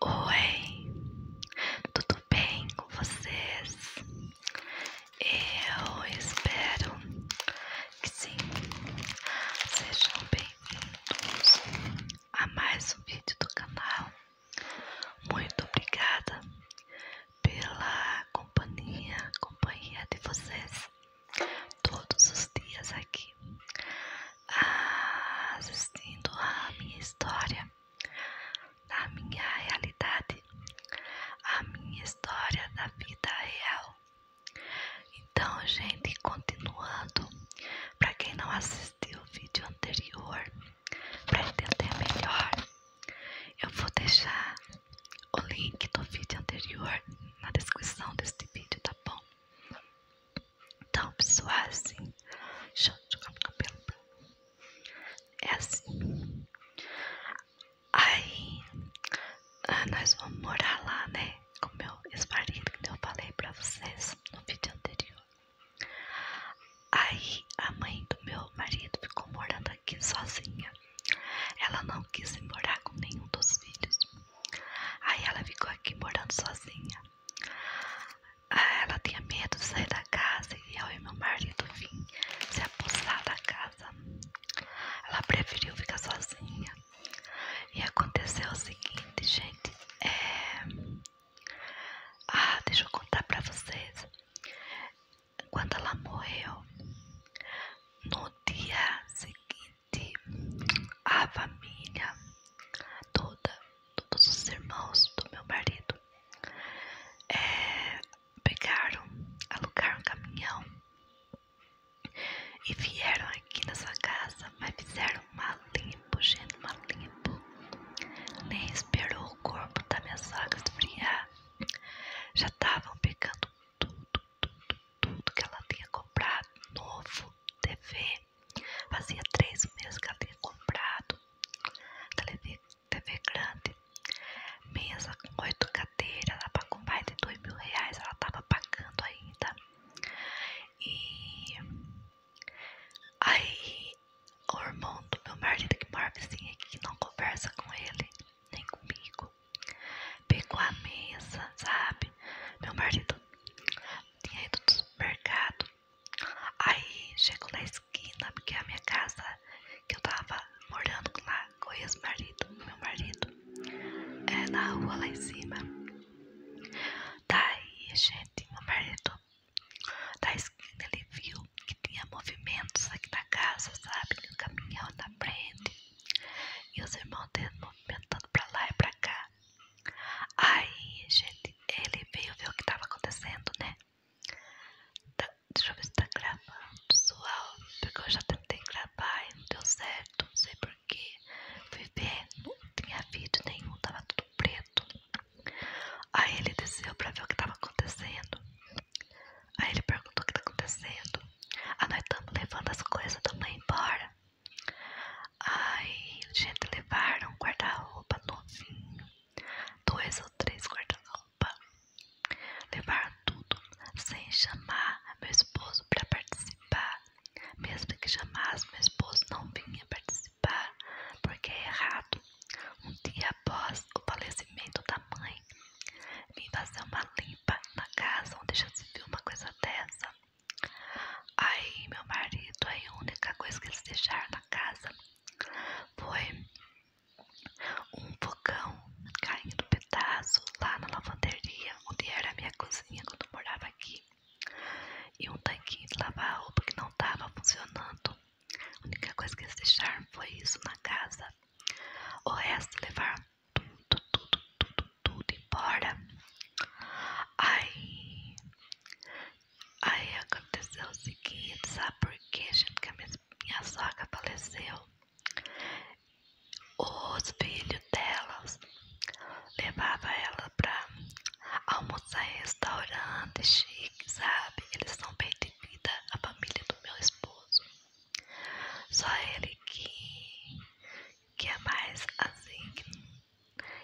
Oi, tudo bem com vocês? Eu espero que sim. Sejam bem-vindos a mais um vídeo do canal. Muito obrigada pela companhia, de vocês todos os dias aqui a, ah, assistindo a minha história, da minha realidade, a minha história da vida real. Então, gente, continuando, para quem não assistiu o vídeo anterior, para entender melhor, eu vou deixar o link do vídeo anterior na descrição deste vídeo, tá bom? Então, pessoal, é assim. Deixa eu jogar meu cabelo. É assim. Aí, ah, nós vamos morar lá, né? Com meu ex-marido, que eu falei pra vocês no vídeo anterior. Aí, a mãe do meu marido ficou morando aqui sozinha. Ela não quis ir morar com nenhum dos filhos. Aí, ela ficou aqui morando sozinha. Ah, ela tinha medo de sair da casa e eu e meu marido vim se apossar da casa. Ela preferiu ficar sozinha. E aconteceu o seguinte, gente. É... Ah, deixa eu contar pra vocês. Quando ela morreu, no dia seguinte, a família toda todos os irmãos do meu marido é, pegaram, alugaram um caminhão e vieram aqui nessa casa, mas fizeram uma limpo, gente, uma Nem esperou o corpo da minha sogra esfriar. Já estavam pegando tudo, tudo, tudo que ela tinha comprado, novo, TV, Fazia três meses que ela tinha comprado TV, TV grande, mesa com oito cadeiras, ela com mais de dois mil reais, ela estava pagando ainda. E aí o irmão do meu marido que morre vizinho aqui, que não conversa com ele, nem comigo, pegou a mesa, sabe? Meu marido tinha ido do supermercado Aí chegou na esquina, porque é a minha casa que eu tava morando lá com o ex-marido, meu marido, é na rua lá em cima. Daí, gente, meu marido da esquina ele viu que tinha movimentos aqui na casa, sabe? Que o caminhão na frente e os irmãos dele movimentando pra lá e pra cá. Aí, gente, ele veio ver o que tava acontecendo, né? Tá, deixa eu ver se tá gravando, pessoal. Porque eu já tentei gravar e não deu certo, não sei porquê. Fui ver, não tinha vídeo nenhum, tava tudo preto. Aí ele desceu pra ver o que tava acontecendo. Aí ele perguntou o que tá acontecendo. Ah, nós estamos levando as coisas, estamos indo embora. Aí, gente, levaram um guarda-roupa novinho, dois ou três guarda-roupa. Levaram tudo, sem chamar meu esposo para participar. Mesmo que chamasse, meu esposo não vinha participar, porque é errado. Um dia após o falecimento da mãe, vim fazer uma limpa na casa onde já se viu uma coisa dessa. Aí meu marido, a única coisa que eles deixaram na casa foi um fogão caindo pedaço lá na lavanderia, onde era a minha cozinha quando eu morava aqui. E um tanquinho de lavar roupa que não estava funcionando. A única coisa que eles deixaram foi isso na casa. O resto levaram tudo, tudo, tudo, tudo embora. Aí Aí aconteceu o seguinte, sabe por quê, gente? Que a minha, sogra faleceu. Os filhos delas levavam ela pra almoçar em restaurante chique, sabe? Eles são bem de vida, a família do meu esposo. Só ele que, que é mais assim,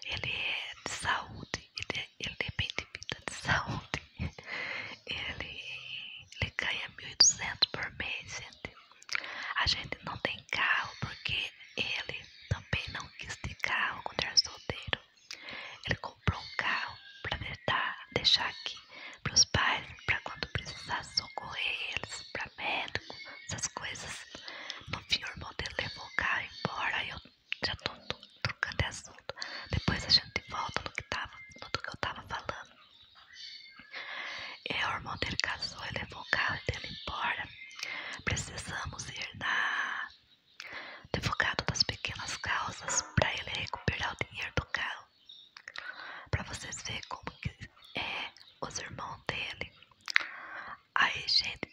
ele é de saúde, ele, é, ele depende vida de saúde, ele, ele ganha 1.200 por mês, gente. A gente não tem carro porque ele também não quis ter carro quando era solteiro. Ele comprou um carro para deixar aqui para os pais, para quando precisasse socorrer eles para médico essas coisas. No fim, o irmão dele levou o carro embora. E eu já tô trocando de assunto. Depois a gente volta no que, tava, no que eu tava falando. E é, o irmão dele casou ele levou o carro e dele embora. Precisamos ir na advogado das pequenas causas para ele recuperar o dinheiro do carro. Para vocês verem como que é os irmãos dele. Aí, gente,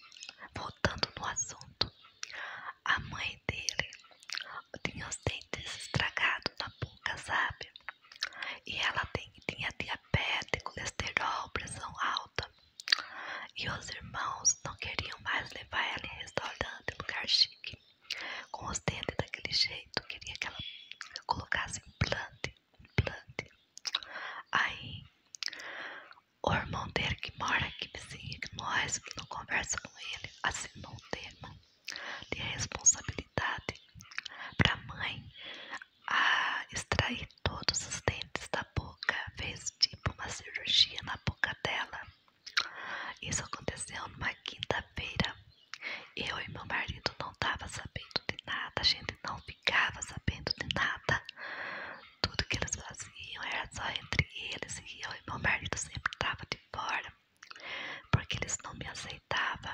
voltando no assunto, a mãe dele tinha os dentes estragados na boca, sabe? E ela tem, tinha diabetes, colesterol, pressão alta. E os irmãos não queriam mais levar ela em restaurante, lugar chique. Com os dentes daquele jeito, queria que ela colocasse implante. Blood. Aí, o irmão dele que mora aqui vizinho que nós, que não conversa com ele, assinou é um termo de responsabilidade para a mãe a extrair todos os dentes da boca, fez tipo uma cirurgia na boca dela. Isso aconteceu numa quinta-feira. Eu e meu marido não tava sabendo de nada, a gente não ficava sabendo de nada. Tudo que eles faziam era só entre eles e eu e meu marido sempre estava de fora, porque eles não me aceitavam.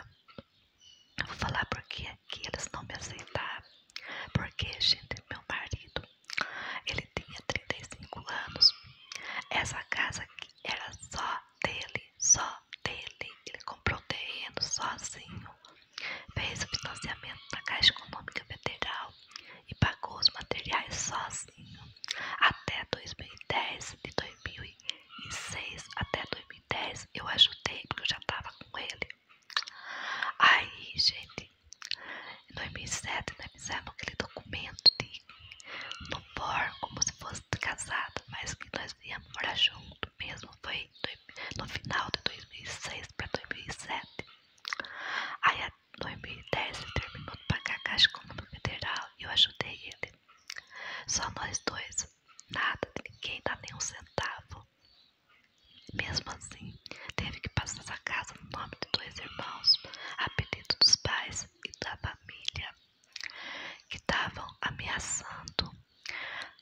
vou falar porque aqui eles não me aceitavam. Porque, gente, meu marido, ele tinha 35 anos. Essa casa aqui era só dele, só dele. Ele comprou o terreno sozinho. Fez o financiamento da Caixa Econômica Federal e pagou os materiais sozinho até 2010. De 2006 até 2010 eu ajudei porque eu já estava com ele. Aí, gente, em 2007 nós fizemos aquele documento de no por como se fosse casado, mas que nós íamos morar junto mesmo. Foi no final de 2006 para 2007. Aí, em 2010, ele terminou de pagar a Caixa Econômica Federal e eu ajudei ele. Só nós dois. Nada de ninguém dá nem um centavo. Mesmo assim, teve que passar essa casa no nome de dois irmãos, a pedido dos pais e da família, que estavam ameaçando,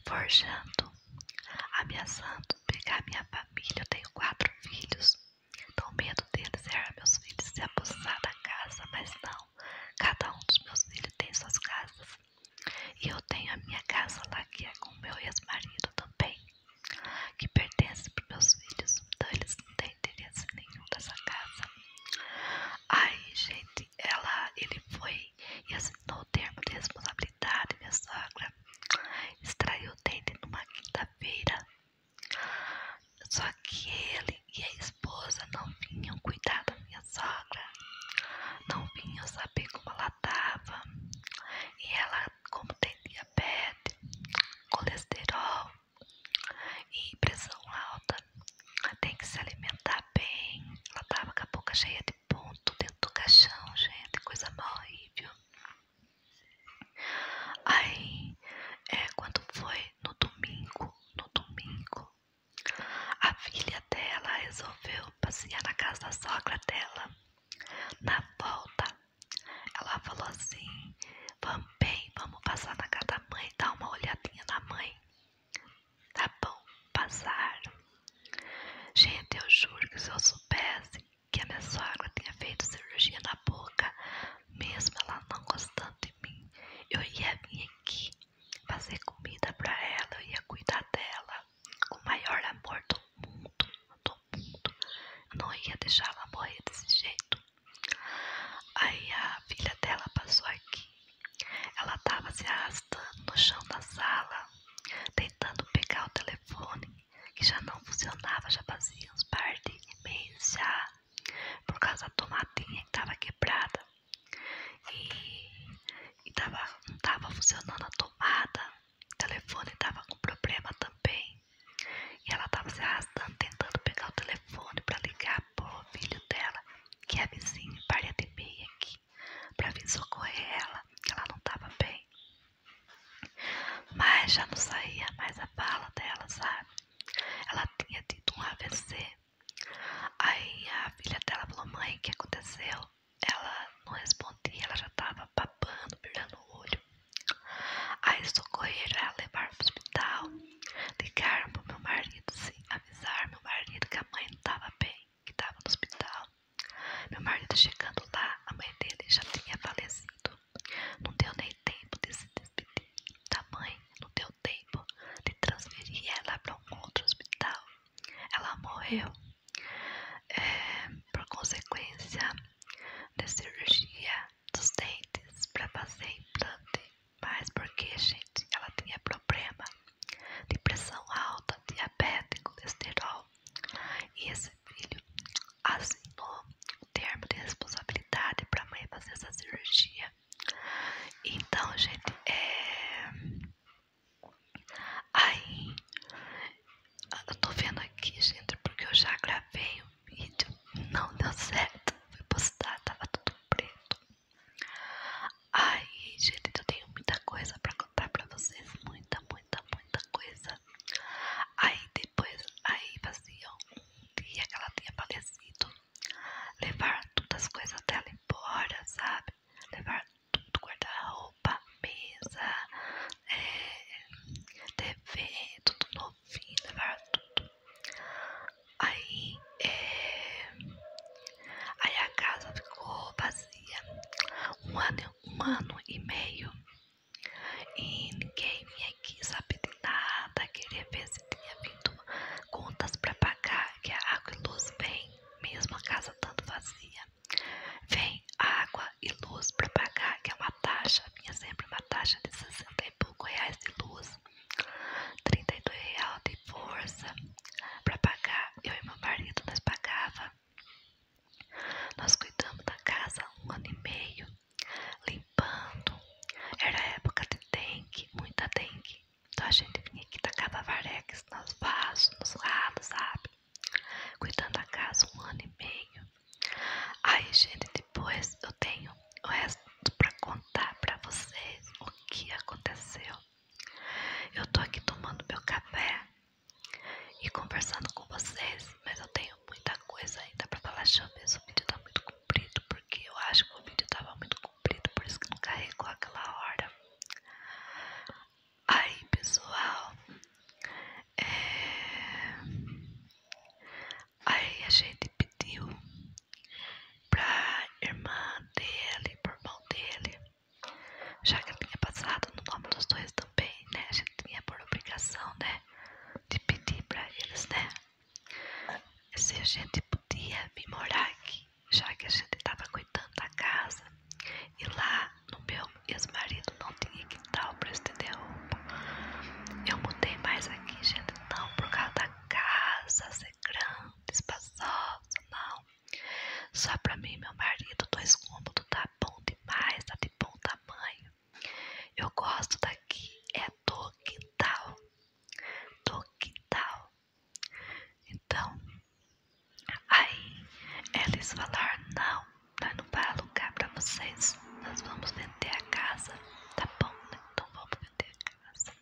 forjando, ameaçando pegar minha família. Eu tenho quatro filhos. Então, o medo deles era meus filhos se abusar da casa, mas não. Cada um dos meus filhos tem suas casas. E eu tenho a minha casa lá, que é com o meu ex-marido também, que pertence para meus filhos. Então, eles não têm interesse nenhum dessa casa. Aí, gente, ela, ele foi e assinou o termo de responsabilidade idade, minha sogra extraiu o dente numa quinta-feira. Só que ele e a esposa não vinham cuidar da minha sogra, não vinham saber como ela estava. E ela, como tem diabetes, colesterol e pressão alta, tem que se alimentar bem. Ela estava com a boca cheia de ponto dentro do caixão, gente, coisa mal horrível. Aí, é, quando foi no domingo, no domingo, a filha dela resolveu passear na casa da sogra dela. Na volta, ela falou assim: Vamos bem, vamos passar na casa da mãe, dar uma olhadinha na mãe. Tá bom, passaram. Gente, eu juro que se eu soubesse que a minha sogra tinha feito cirurgia na boca, mesmo ela não gostando de mim, eu ia vir aqui fazer comida para ela, eu ia cuidar dela com o maior amor do mundo, do mundo. Eu não ia deixar ela morrer desse jeito. Aí a filha dela passou aqui. Ela estava se arrastando no chão da sala, tentando pegar o telefone telefone que já não funcionava, já fazia uns par de meses já, por causa da tomadinha que estava quebrada e, e tava, não estava funcionando a tomada, o telefone estava com problema também e ela estava se arrastando tentando pegar o telefone para ligar pro filho dela, que é vizinho, parede meia aqui para vir socorrer ela, que ela não estava bem. Mas já não saía mais a bala dela, sabe? Ela tinha tido um AVC. Aí a filha dela falou: Mãe, o que aconteceu? Ela não respondia, ela já estava babando, brilhando o olho. Aí socorreram ela, levaram o hospital, ligaram para meu marido, sim, avisaram meu marido que a mãe não estava bem que estava no hospital. Meu marido chegando lá, a mãe dele já tinha falecido. Não deu nem tempo de se despedir da mãe, não deu tempo de transferir ela para um outro hospital. Ela morreu. É, por consequência da cirurgia dos dentes para fazer implante, mas porque, gente, ela tinha problema de pressão alta, diabético, colesterol, e esse filho assinou o termo de responsabilidade para a mãe fazer essa cirurgia. Então, gente, é. Aí. Eu tô vendo aqui, gente, porque eu já gravei o um vídeo. Não deu certo. Fui postar, tava tudo preto. Aí, gente, eu tenho muita coisa para contar para vocês. Muita, muita muita, muita coisa. Aí depois, aí fazia um dia que ela tinha falecido. Levar todas as coisas dela embora, sabe? Levar tudo, guarda-roupa, mesa, é, TV, tudo novinho, levar tudo. Aí, é, aí a casa ficou vazia. Um ano um ano e meio e ninguém vinha aqui sabe de nada, queria ver se tinha vindo contas para pagar, que a água e luz vem, mesmo a casa tanto vazia. Vem água e luz para pagar, que é uma taxa, vinha sempre uma taxa de 60 e pouco reais de luz, 32 reais de força para pagar. Eu e meu marido nós pagava nós cuidamos da casa um ano e meio, limpando. Era época de dengue, muita dengue. Então a gente vinha aqui tacava varex nos vasos, nos lados, sabe? Cuidando da casa um ano e meio. Aí, gente, depois eu tenho o resto para contar para vocês o que aconteceu. Eu estou aqui tomando meu café e conversando com vocês, mas eu tenho muita coisa ainda pra falar. Chama, O vídeo tá muito comprido, porque eu acho que o vídeo tava muito comprido, por isso que não carregou aquela hora. Aí, pessoal, é... aí a gente pediu pra irmã dele, por irmão dele, já que eu tinha passado no nome dos dois também, né? A gente tinha por obrigação, né? De pedir pra eles, né? Se a gente podia vir morar aqui, já que a gente tava cuidando da casa. E lá no meu ex-marido não tinha quintal pra estender roupa. Eu mudei mais aqui, gente, não por causa da casa ser grande, espaçosa, não. Só pra mim meu marido, dois cômodos tá bom demais, tá de bom tamanho. Eu gosto daqui, é do quintal. Do tal. Então, aí eles falaram: não, nós não vai alugar pra vocês, nós vamos vender a casa. Tá bom, né? Então vamos vender a casa.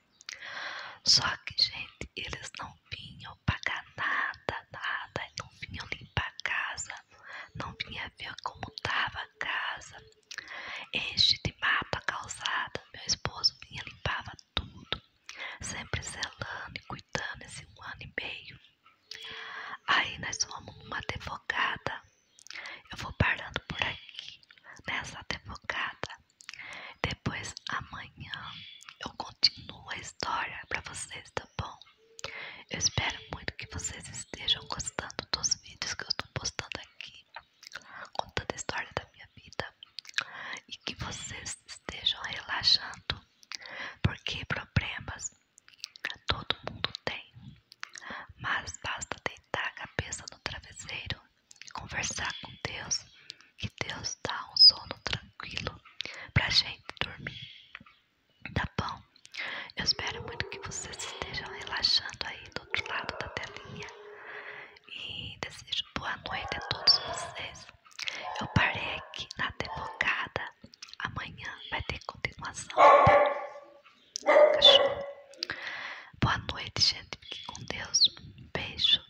Só que, gente, eles não vinham pagar nada, nada. Não vinha limpar a casa, não vinha ver como tava a casa. Enche de mapa calçada, meu esposo vinha limpava tudo, sempre zelando e cuidando esse um ano e meio. Aí nós fomos numa advogada. Eu vou parando por aqui nessa advogada. Depois amanhã eu continuo a história para vocês, tá bom? Eu espero muito que vocês estejam gostando dos vídeos que eu estou postando aqui, contando a história da minha vida e que vocês estejam relaxando, porque problemas todo mundo tem, mas basta deitar a cabeça no travesseiro, conversar com Deus que Deus dá um sono tranquilo pra gente dormir. Tá bom? Eu espero muito que vocês estejam relaxando aí do outro lado da telinha. E desejo boa noite a todos vocês. Eu parei aqui na advogada. Amanhã vai ter continuação. Tá? Cachorro. Boa noite, gente. Fique com Deus. Um beijo.